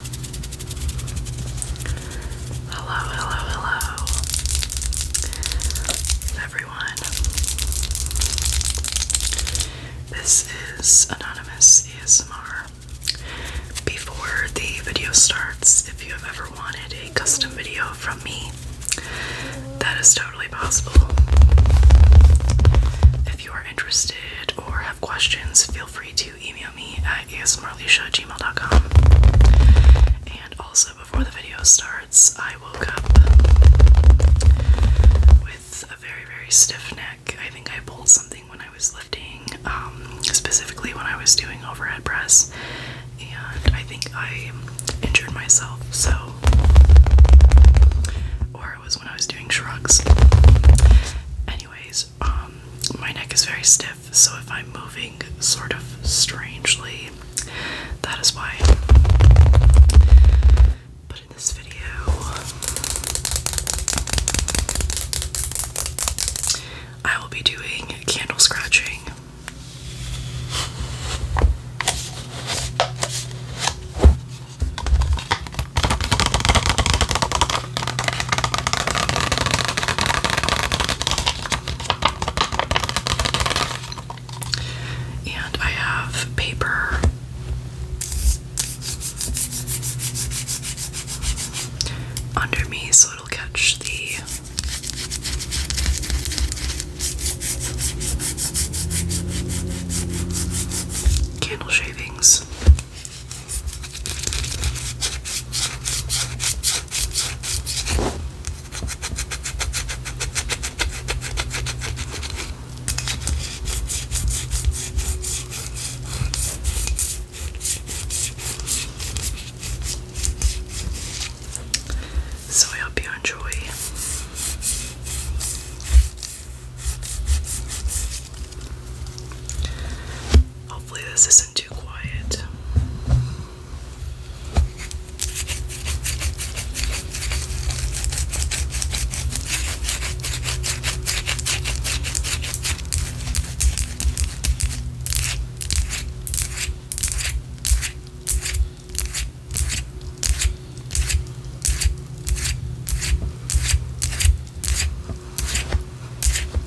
Hello, hello, hello, everyone. This is Anonymous ASMR. Before the video starts, if you have ever wanted a custom video from me, that is totally possible. If you are interested or have questions, feel free to email me at asmrleisha@gmail.com. And also, before the video starts, I woke up with a very, very stiff neck. I think I pulled something when I was lifting, um, specifically when I was doing overhead press, and I think I injured myself. So, or it was when I was doing shrugs. Anyways, um, my neck is very stiff, so if I'm moving sort of strangely, that is why. But in this video, I will be doing candle scratching. And I have paper. Under me, so it'll catch the candle shavings. So I hope you enjoy. Hopefully, this isn't too quiet.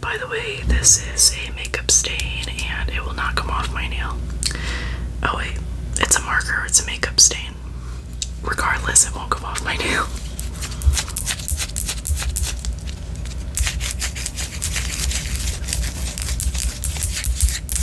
By the way, this is a makeup stain and it will not come off my nail. Oh, wait, it's a marker, it's a makeup stain. Regardless, it won't come off my nail.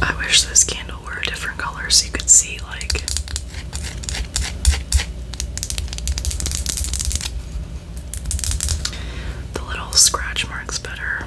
I wish this candle were a different color so you could see, like, the little scratch marks better.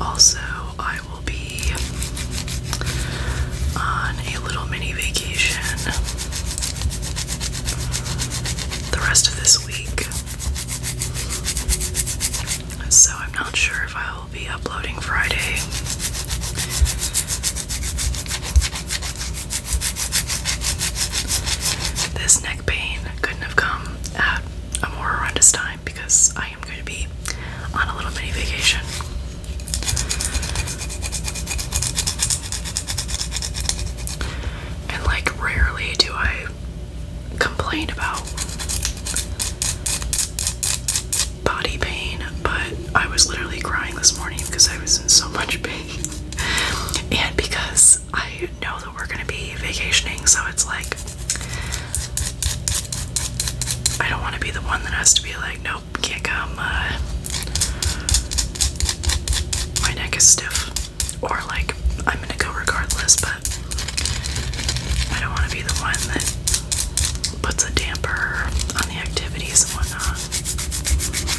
Also, I will be on a little mini vacation the rest of this week. So, I'm not sure if I will be uploading Friday. This neck pain couldn't have come at a more horrendous time because I am going to be on a little mini vacation. And like, rarely do I complain about body pain, but I was literally crying this morning because I was in so much pain. And because I know we're gonna be vacationing, so it's like I don't want to be the one that has to be like, nope, can't come. Uh, my neck is stiff, or like I'm gonna go regardless, but I don't want to be the one that puts a damper on the activities and whatnot.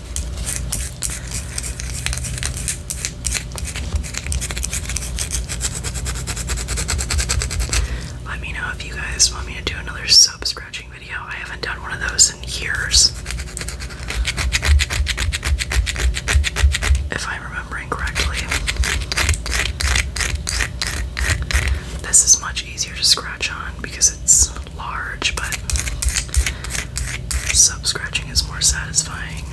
Let me know if you guys want me to do another soap scratching video. I haven't done one of those in years. If I'm remembering correctly, this is much easier to scratch on because it's large, but sub scratching is more satisfying.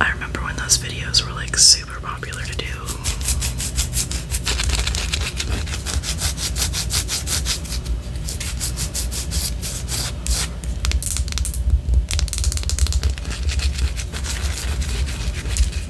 I remember when those videos were like super popular to do.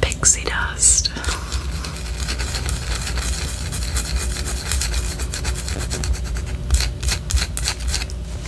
Pixie dust.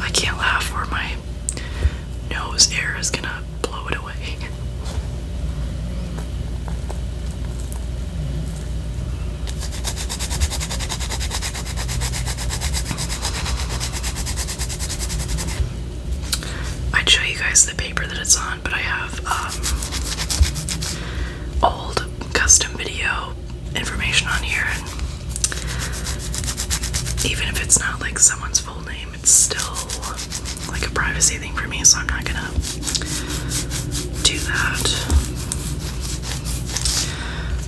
I can't laugh or my nose air is gonna blow it away. I'd show you guys the paper that it's on, but I have um, old custom video information on here, and even if it's not like someone's full name, it's still like a privacy thing for me, so I'm not gonna do that.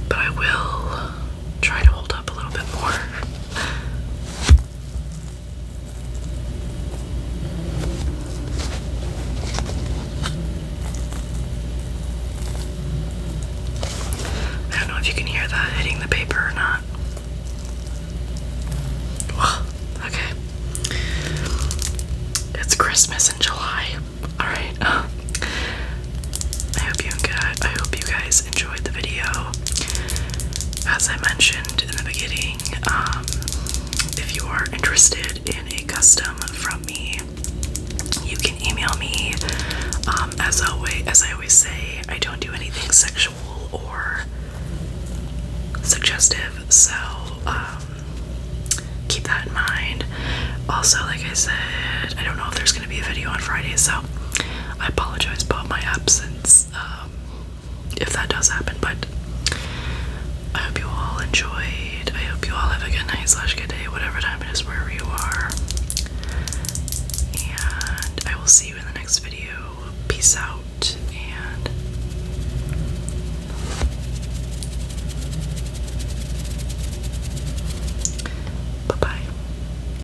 But I will try to hold up a little bit more. I don't know if you can hear that hitting the paper or not. okay. It's Christmas in July. Alright. I hope you I hope you guys enjoy enjoyed the video. As I mentioned in the beginning, um, if you are interested in a custom from me, you can email me. Um, as always, as I always say, I don't do anything sexual or suggestive, so um, keep that in mind. Also, like I said, I don't know if there's going to be a video on Friday, so I apologize about my absence um, if that does happen, but I hope you all enjoyed. I hope you all have a good night slash good day, whatever time it is wherever you are. And I will see you in the next video. Peace out and bye bye.